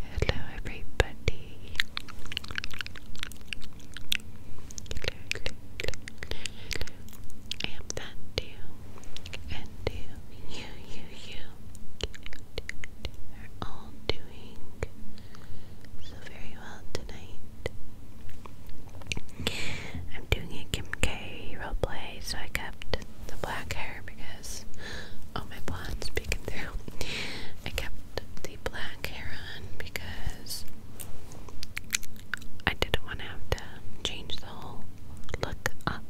Hello, everybody. I am that too, and you, you, you, you, are all doing so very well tonight. I'm doing a Kim K play, so I kept the black hair because all my blondes peeking through. I kept the black hair on because I didn't want to have to change the whole look up.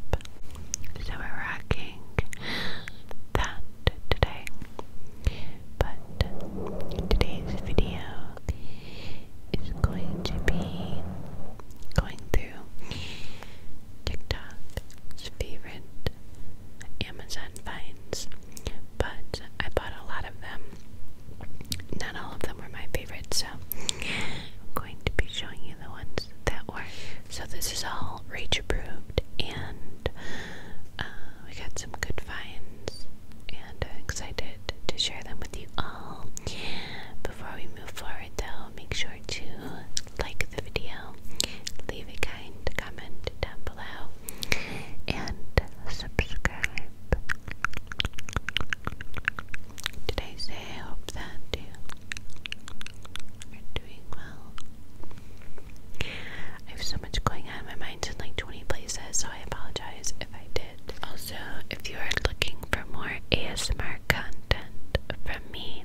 So we're rocking that today. But today's video is going to be going through TikTok's favorite Amazon finds, but I bought a lot of them. Not all of them were my favorites, so I'm going to be showing you the ones that were. So this is all rage approved, and uh, we got some good finds and excited to share them with you all. Before we move forward, though, make sure to like the video, leave a kind comment down below, and subscribe. Did I say hope that you are doing well? I have so much going on. My mind's in like 20 places, so I apologize also, if you are looking for more ASMR content from me,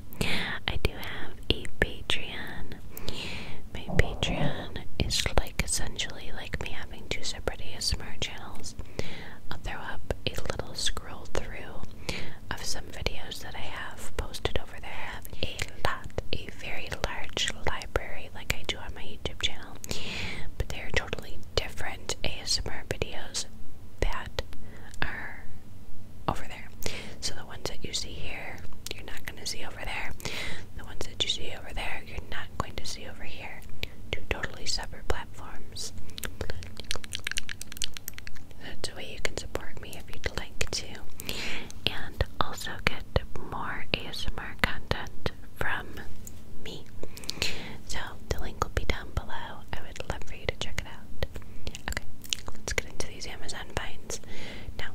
I do have a Patreon. My Patreon is like essentially like me having two separate ASMR channels. I'll throw up a little scroll through of some videos that I have posted over there. I have a lot, a very large library like I do on my YouTube channel, but they are totally different ASMR videos that are over there. So the ones that you see here, you're not going to see over there. The ones that you see over there, you're not going to see over here. Two totally separate platforms. That's a way you can support me if you'd like to. And also get more ASMR ASMR content from me. So the link will be down below. I would love for you to check it out. Okay, let's get into these Amazon finds. Now,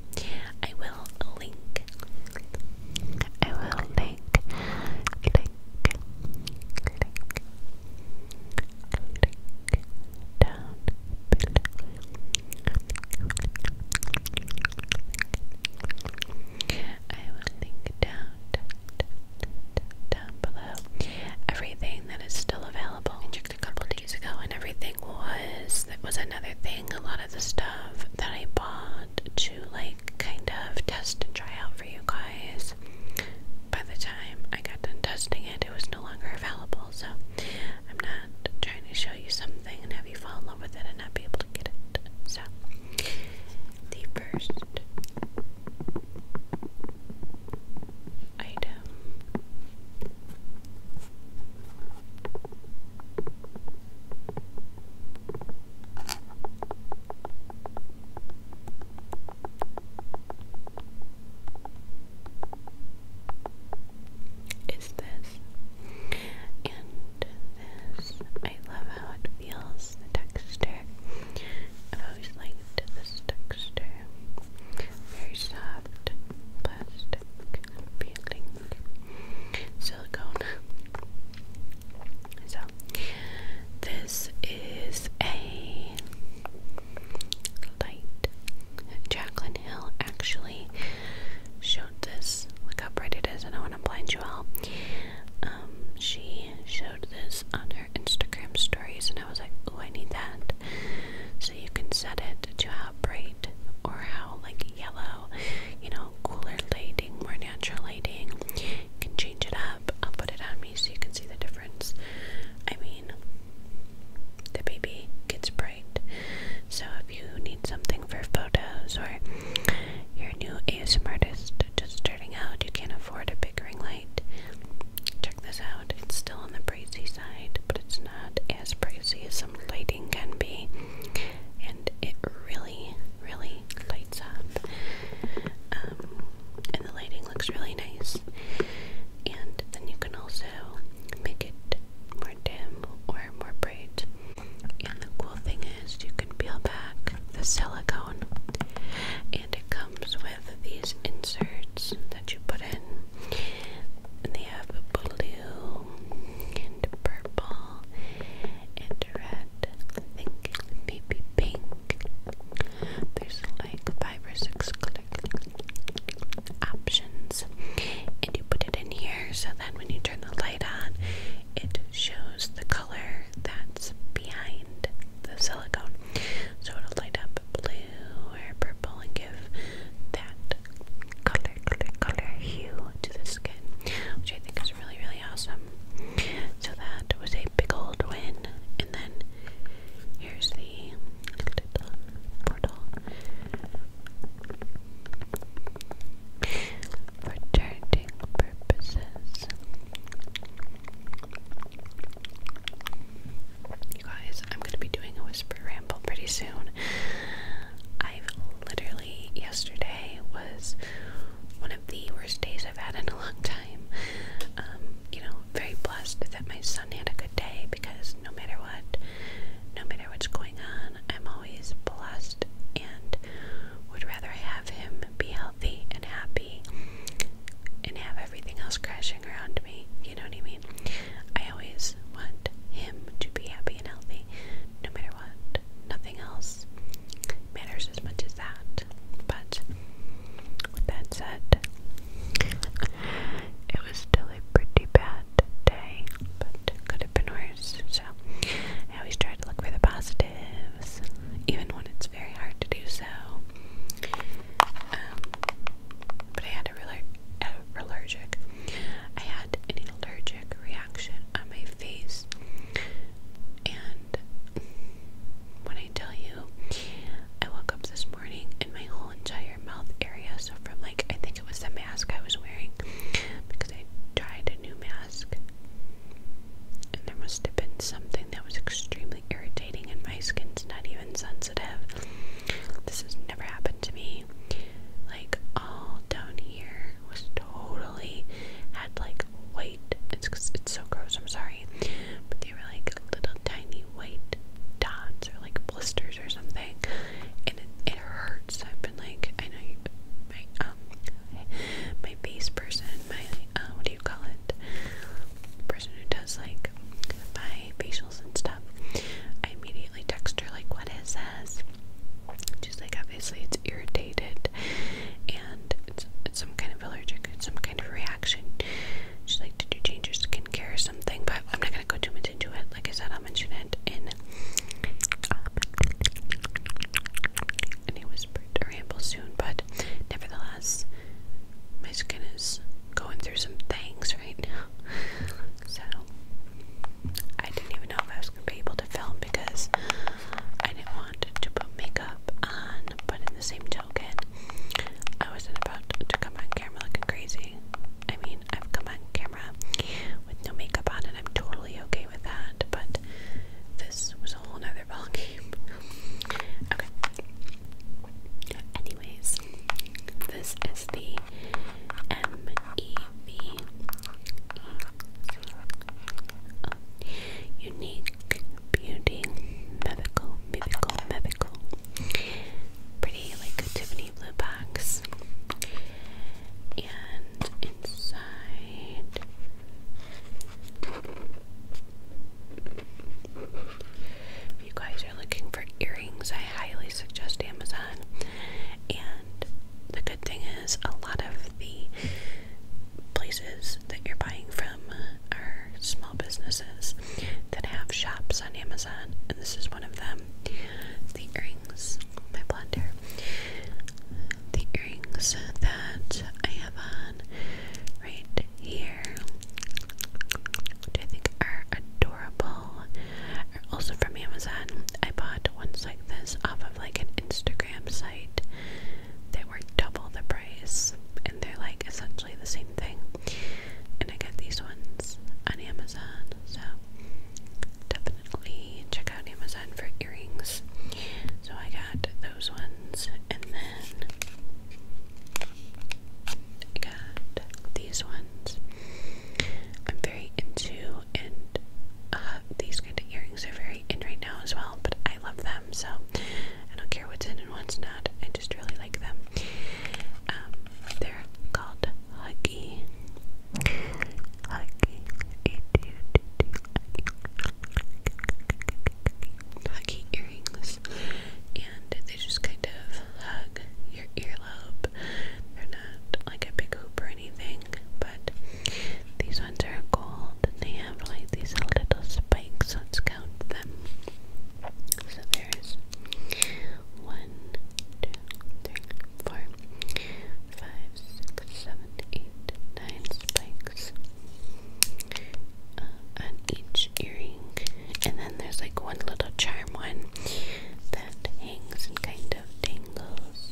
I will link. I will link. Link. Link. Link down I will link down, down, down, down below everything that is still available. I checked a couple days ago, and everything was that was another thing. A lot of the stuff that I bought to like kind of test and try out for you guys. By the time I got done testing it, it was no longer available. So I'm not trying to show you something and have you fall in love with it and not be able to get it. So the first item. Is this and I love how it feels, the texture. I've always liked this texture. Very soft, plastic feeling. Silicone. this is a light. Jacqueline Hill actually showed this. Look how bright it is. I know when I'm blind you all. Um, she showed this on her Instagram stories, and I was like, "Oh, I need that." So you can set it to how bright or how like yellow, you know, cooler lighting, more natural lighting. You can change it up. I'll put it on me so you can see the difference. I mean, the baby gets bright. So if you need something for photos or you're a new ASM artist just starting out, you can't afford a big ring light. Check this out. It's still on the pricey side, but it's not as pricey as some lighting can be. And it really, really lights up. Um, and the lighting looks really nice. And then you can also make it more dim or more bright and the cool thing is, you can peel back the silicone, and it comes with these inserts that you put in. And they have blue and purple and red. think maybe pink. There's like five or six options, and you put it in here so then, when you turn the light on, it shows the color that's behind the silicone. So it'll light up blue or purple and give that color, color, color hue to the skin, which I think is really, really awesome. So that was a big old win. And then here's the portal for charging purposes. You guys, I'm gonna be doing a whisper ramble pretty soon. I've literally yesterday was one of the worst days I've had in a long time. Um, you know, very blessed that my son had a good day because no matter what, no matter what's going on. I'm always blessed and would rather have him be healthy and happy and have everything else crashing around me. You know what I mean? I always want him to be happy and healthy no matter what. Nothing else matters as much as that. But with that said, it was still a pretty bad bad but could have been worse. So I always try to look for the positives, even when it's very hard to do so. Um, but I had a, a allergic. I had an allergic reaction on my face, and when I tell you, I woke up this morning and my whole entire mouth area. So from like I think it was the mask I was wearing because I tried new mask. And there must have been something that was extremely irritating, and my skin's not even sensitive. This has never happened to me. Like, all down here was totally had like white. It's, it's so gross, I'm sorry. But they were like little tiny white dots or like blisters or something. And it, it hurt hurts. I've been like, I know my um, my base person, my uh, what do you call it? Person who does like my facials and stuff. I immediately text her like, what is this? She's like, obviously it's irritated, and it's, some kind of allergic, it's some kind of reaction. She's like, did you change your skincare or something? But I'm not gonna go too like I said, I'll mention it in any whispered ramble soon, but nevertheless, my skin is going through some things right now. So I didn't even know if I was gonna be able to film because I didn't want to put makeup on, but in the same token, I wasn't about to come on camera looking crazy. I mean, I've come on camera with no makeup on, and I'm totally okay with that. But this was a whole nother ballgame. okay. Anyways, this is the M E V E C O Unique Beauty Mythical Mythical Mythical. Pretty like Tiffany mini box. And inside if you guys are looking for earrings, I highly suggest Amazon. And the good thing is, a lot of the places that you're buying from are small businesses that have shops on Amazon, and this is one of them the earrings, my blonde the earrings that I have on right here, which I think are adorable, are also from Amazon. I bought ones like this off of like an Instagram site. They were double the price, and they're like essentially the same thing. And I got these ones on Amazon. So definitely check out Amazon for earrings. So I got those ones and then I got these ones. I'm very into and uh, these kind of earrings are very in right now as well, but I love them so I don't care what's in and what's not. I just really like them. Um, they're called Huggy. Huggy. Huggy earrings. And they just kind of hug your earlobe. They're not like a big hoop or anything, but these ones are gold and they have like these little spikes. Let's count them. So there's one, two, three, four, five, six, seven, eight, nine spikes uh, on each earring, and then there's like one little charm one that hangs and kind of tingles.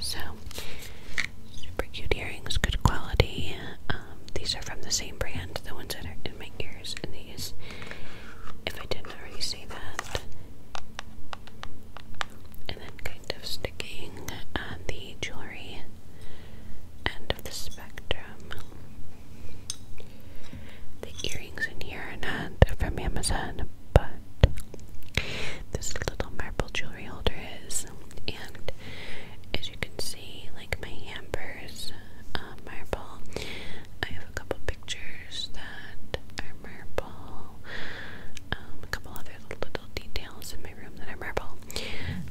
So, super cute earrings, good quality. Um, these are from the same brand, the ones that are in my ears and if I didn't already see that. And then kind of sticking the jewelry end of the spectrum. The earrings in here are not from Amazon, but this little marble jewelry holder is. And as you can see, like my hampers uh, marble. I have a couple pictures that are marble. Um, a couple other little details in my room that are marble.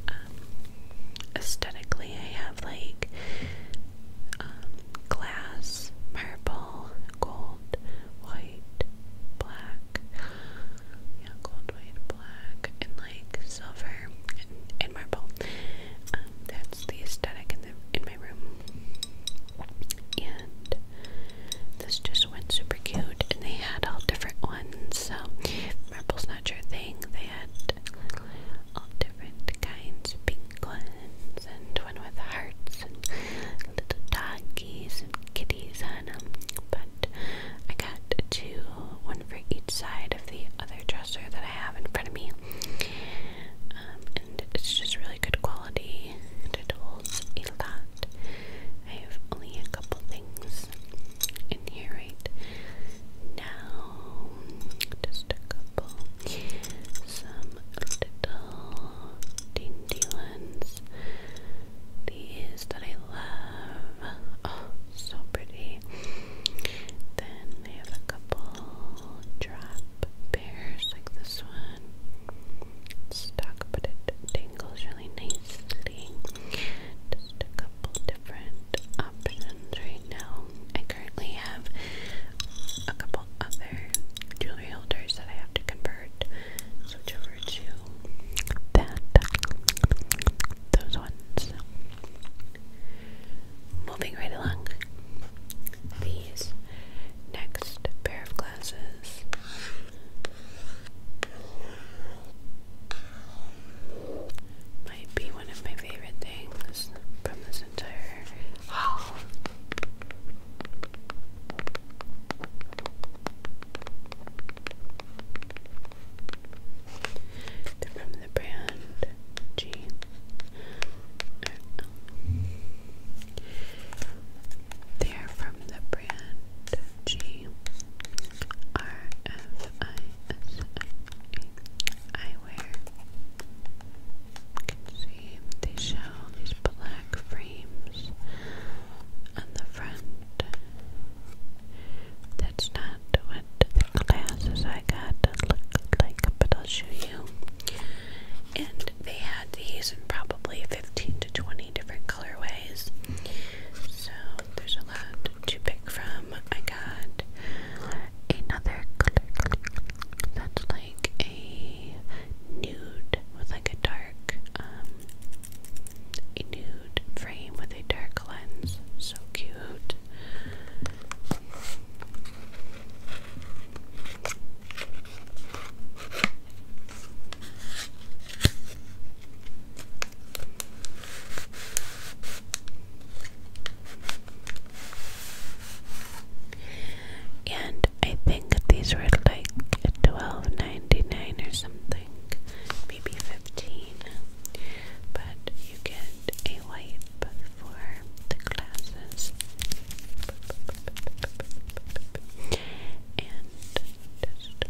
Um, aesthetically, I have like um, glass, marble, gold, white, black. Yeah, gold, white, black, and like silver and, and marble. Um, that that's the aesthetic in the in my room. And this just went super cute, and they had all different ones. So Marble's not your thing. They had all different kinds, pink ones, and one with hearts, and little doggies and kitties on them. But I got two, one for each side of the other dresser that I have in front of me. Um, and it's just really good quality I have only a couple things in here right now. Just a couple. Some little dainty ones. These that I love. Oh, so pretty. Then they have a couple drop bears like this one. stuck, but it dangles really nicely. a couple different options right now. I currently have a couple other jewelry holders that I have to convert. Switch over to that. Those ones. Moving right along, these next pair of glasses might be one of my favorite things from this entire they're from the brand G. They're from the brand G R F I S I eyewear. You can see they show these black frames on the front that's not what the glasses I got look like, but I'll show you. And they had these in probably 15 to 20 different colorways. So there's a lot to pick from. I got another color that's like a nude with like a dark, um, a nude frame with a dark lens. So cute cute. And I think these were like 12 or something, maybe 15 but you get a wipe for the glasses and just to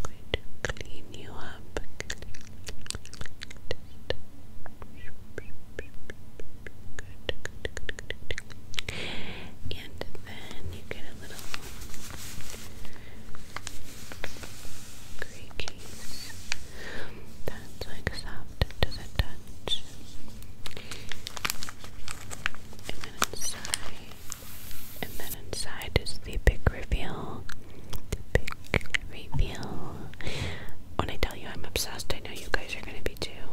clean you up and then you get a little creakies that's like soft to the touch and then inside and then inside is the big reveal the big reveal when I tell you I'm obsessed I know you guys are gonna be too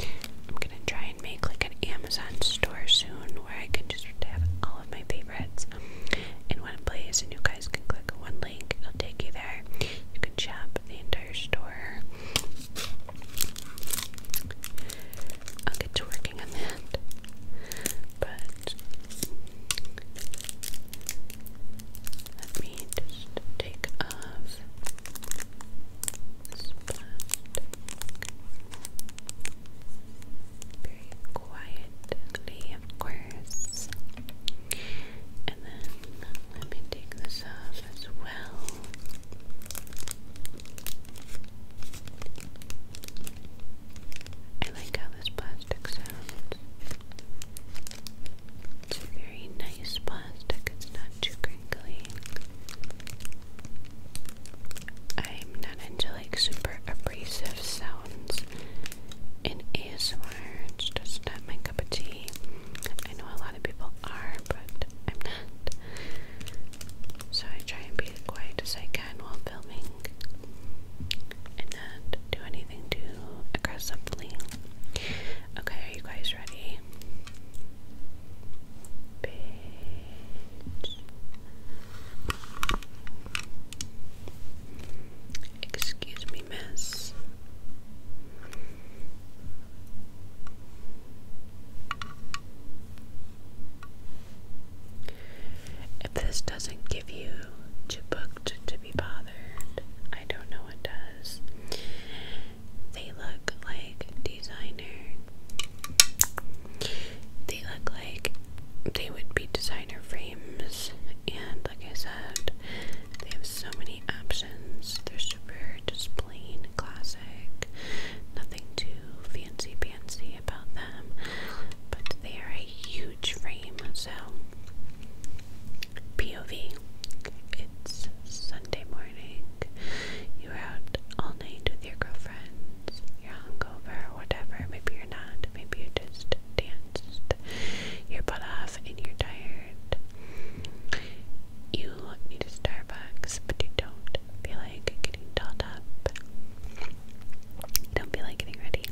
I'm gonna try and make like an Amazon store soon where I can just have all of my favorites in one place and you guys can click one link, it'll take you there. You can shop the entire store. I'll get to working on that. But let me take off very quietly, of course. And then let me take this off as well. I like how this plastic sounds. It's a very nice plastic, it's not too crinkly. I'm not into like super abrasive sounds in ASMR. It's just not my cup of tea. I know a lot of people are, but I'm not. So I try and be as quiet as I can while filming and not do anything too aggressively. Okay, are you guys ready? Excuse me, miss. If this doesn't give you too to be bothered, I don't know what does. They look like designer they look like they would be designer frames, and like I said, they have so many options. They're super just plain classic, nothing too fancy fancy about them, but they are a huge frame. So, POV, it's Sunday morning, you are out all night with your girlfriend you're hungover, whatever. Maybe you're not. Maybe you just danced You're butt off and you're tired. You need a Starbucks, but you don't feel like getting dolled up. You don't feel like getting ready.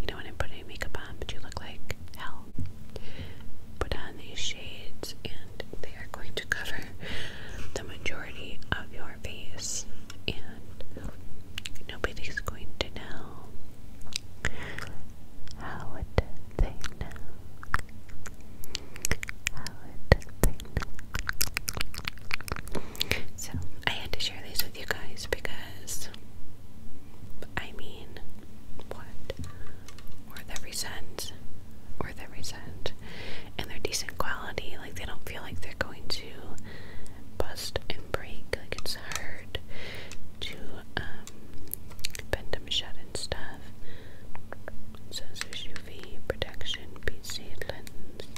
You don't want to put any makeup on, but you look like hell. Put on these shades, and they are going to cover the majority of your face, and nobody's going to know. How would they know? How would they know? So, I had to share these with you guys because, I mean, what? Worth every cent. Worth every cent and they're decent quality. Like they don't feel like they're going to bust and break. Like it's hard to um, bend them shut and stuff. So, says there's UV protection, PC lens.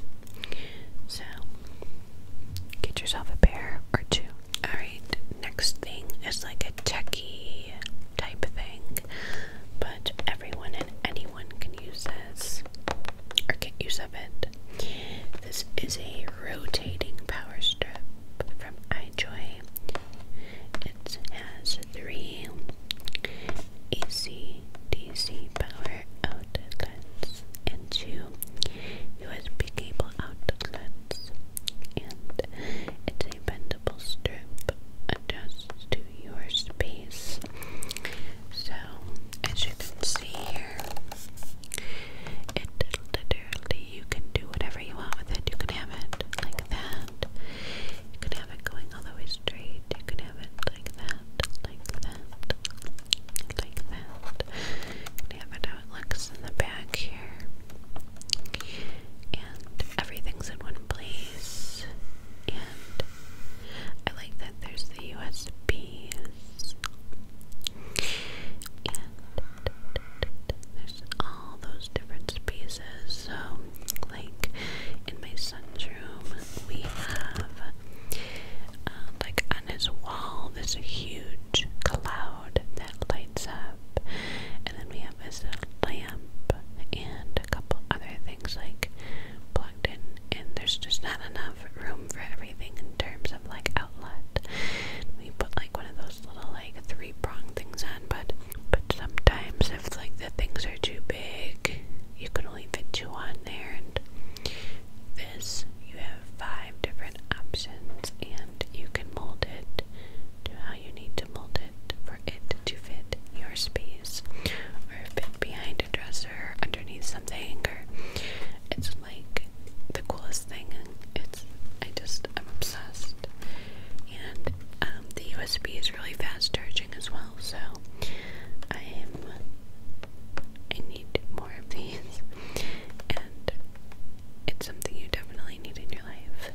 So get yourself a pair or two. Alright, next thing is like a techie type thing. But everyone and anyone anyone can use this or get use of it. This is a rotating power strip from iJoy. It has three AC DC power outlets and two USB cable outlets, and it's a bendable strip adjusts to your space so, as you can see here, it literally, you can do whatever you want with it. You can have it like that. You can have it going all the way straight. You can have it like that, like that, like that. You can have it how it looks in the back here. And everything's in one place and I like that there's the USBs and there's all those different pieces. So, like in my son's room, we have uh, like on his wall this huge cloud that lights up, and then we have was lamp and a couple other things like plugged in and there's just not enough room for everything in terms of like outlet. We put like one of those little like three prong things on but but sometimes if like the things are too big you can only fit two on there and this you have five different options and you can mold it to how you need to mold for it to fit your space or fit behind a dresser, underneath something It's like the coolest thing. It's I just I'm obsessed. And um, the USB is really fast charging as well, so I am I need more of these. And it's something you definitely need in your life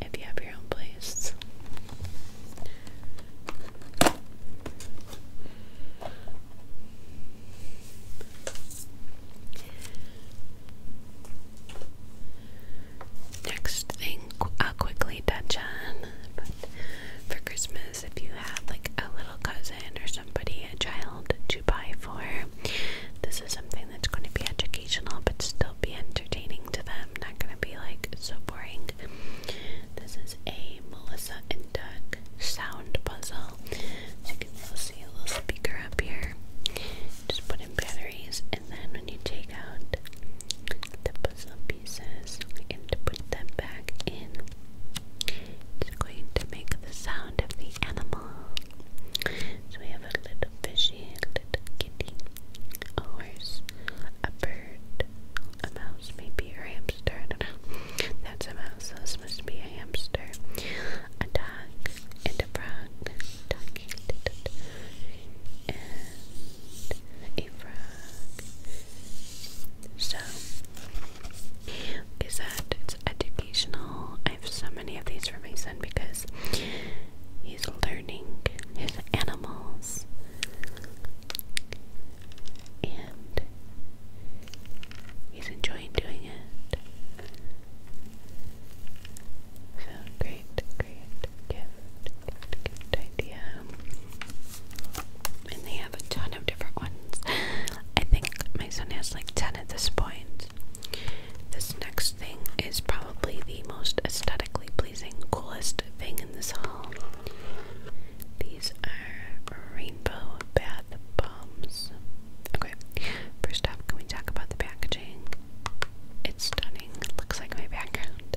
if you have your own place. Next thing I'll quickly touch on, for Christmas, if you have like a little cousin or somebody, a child to buy for, this is something that's going to be educational but still be entertaining to them, not gonna be like so boring. This is a Melissa and Doug sound puzzle. you can see a little speaker up here. Just put in batteries, and then when you take out the puzzle pieces and put them back in, it's going to make the sound of the animal. So we have a little fishy, a little kitty, a horse, a bird, a mouse, maybe, a hamster. That's a mouse, this must be a hamster. A dog, and a frog. Dog, and a frog. So, is that educational? I have so many of these for my son because. He's learning his animals. And he's enjoying doing it. So great, great gift, gift, gift idea. And they have a ton of different ones. I think my son has like 10 at this point. This next thing is probably probably the most aesthetically pleasing, coolest thing in this haul. These are rainbow bath bombs. Okay, first off, can we talk about the packaging? It's stunning. looks like my background.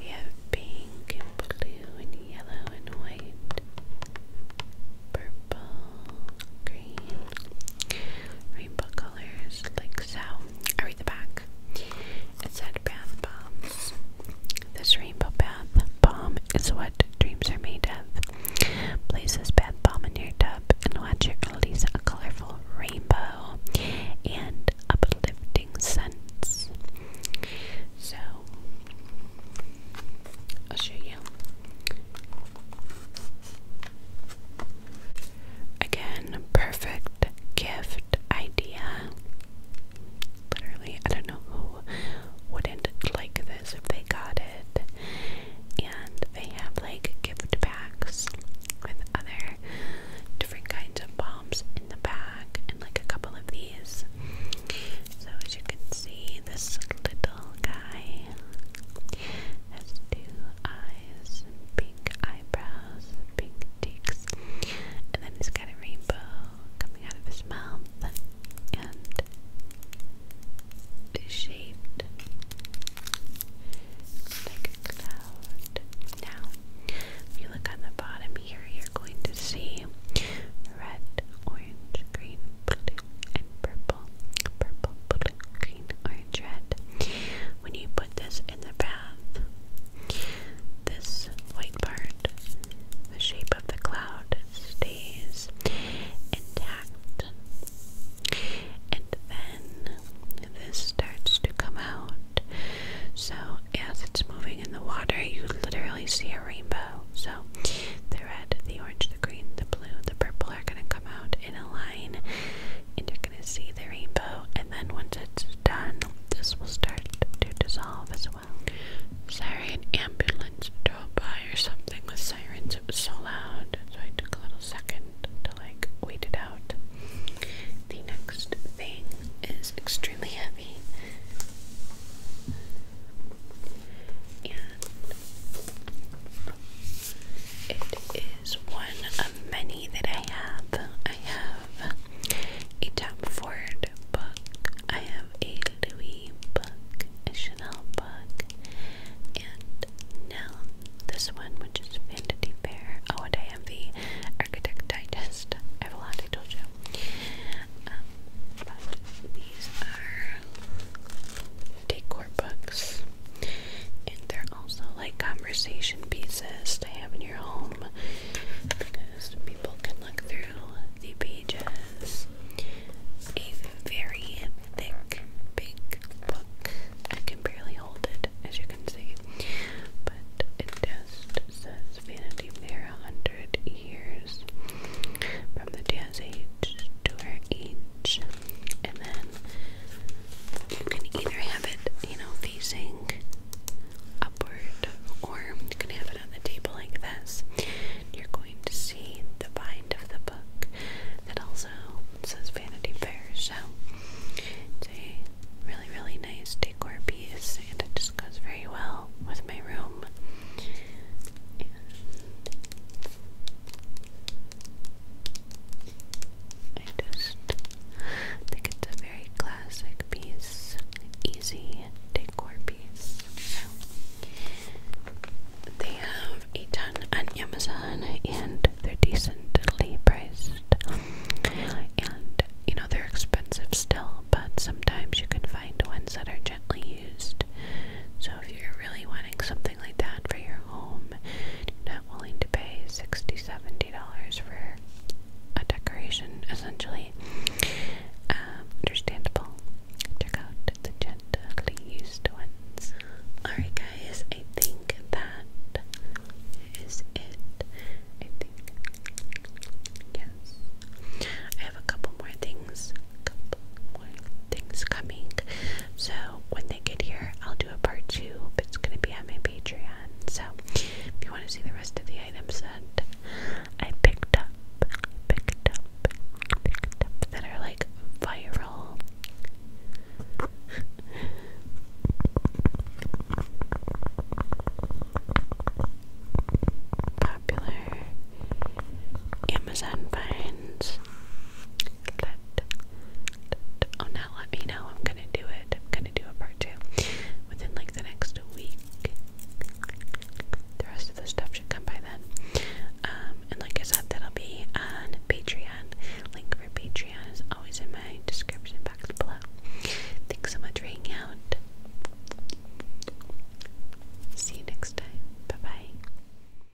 We have pink blue and yellow and white, purple, green, rainbow colors like sour I read the back. It said bath bombs. This rainbow bath bomb is what dreams are made of. Place this bath bomb in your tub and watch it release a colorful rainbow and uplifting scents. So, I'll show you. Again, perfect gift idea. Literally, I don't know who wouldn't like this if they got it. And they have like gift packs with other different kinds of bombs in the back, and like a couple of these. So, as you can see, this little guy has two eyes pink eyebrows, pink cheeks, and then he's got a rainbow coming out of his mouth and shaped like a cloud. Now, if you look on the bottom here, you're going to see red, orange, green, and purple. Purple, green, orange, red. When you put this in the bath, this white part, the shape of the cloud, stays intact. And then this starts to come out. So, as it's moving in the water, you literally see a rainbow. So, the red, the orange, the green, the blue, the purple are going to come out in a line and you're going to see the rainbow and then once it's done this will start to dissolve as well. Sorry an ambulance drove by or something with sirens. It was so loud so I took a little second to like wait it out. The next thing is extremely heavy and it is one of many that I have. I have a Tom Ford book, I have a Louis book, a Chanel book, and now this one, which is Vanity Fair. Oh, and I have the Architect Digest. I have a lot, I told you. Um, these are decor books. And they're also like conversation pieces to have in your home because people can look through the pages. A very thick, big book. I can barely hold it, as you can see, but it just says Vanity Fair 100 years from the Dance age to our age and then you can either have it, you know, facing upward, or you can have it on the table like this. You're going to see the bind of the book that also says Vanity Fair. So it's a really, really nice decor piece, and it just goes very well with my room. I just think it's a very classic piece, easy decor piece. So, they have a ton on Amazon and they're decently priced. And you know, they're expensive still, but sometimes you can find ones that are gently used. So, if you're really wanting something like that for your their home and you're not willing to pay $60, $70 for a decoration, essentially. Um, understandable. Check out the gently used ones. Alright, guys, I think that is it. I think. Yes. I have a couple more things. A couple things coming. So when they get here, I'll do a part two, but it's gonna be on my Patreon. So if you want to see the rest of the items that I picked up, picked up, picked up that are like viral. Popular Amazon finds. Oh, now let me know. I'm gonna do it. I'm gonna do a part two within like the next week. The rest of the stuff should come by then. Um, and like I said, that'll be on Patreon. Link for Patreon is always in my description box below. Thanks so much for hanging out. See you next time. Bye bye.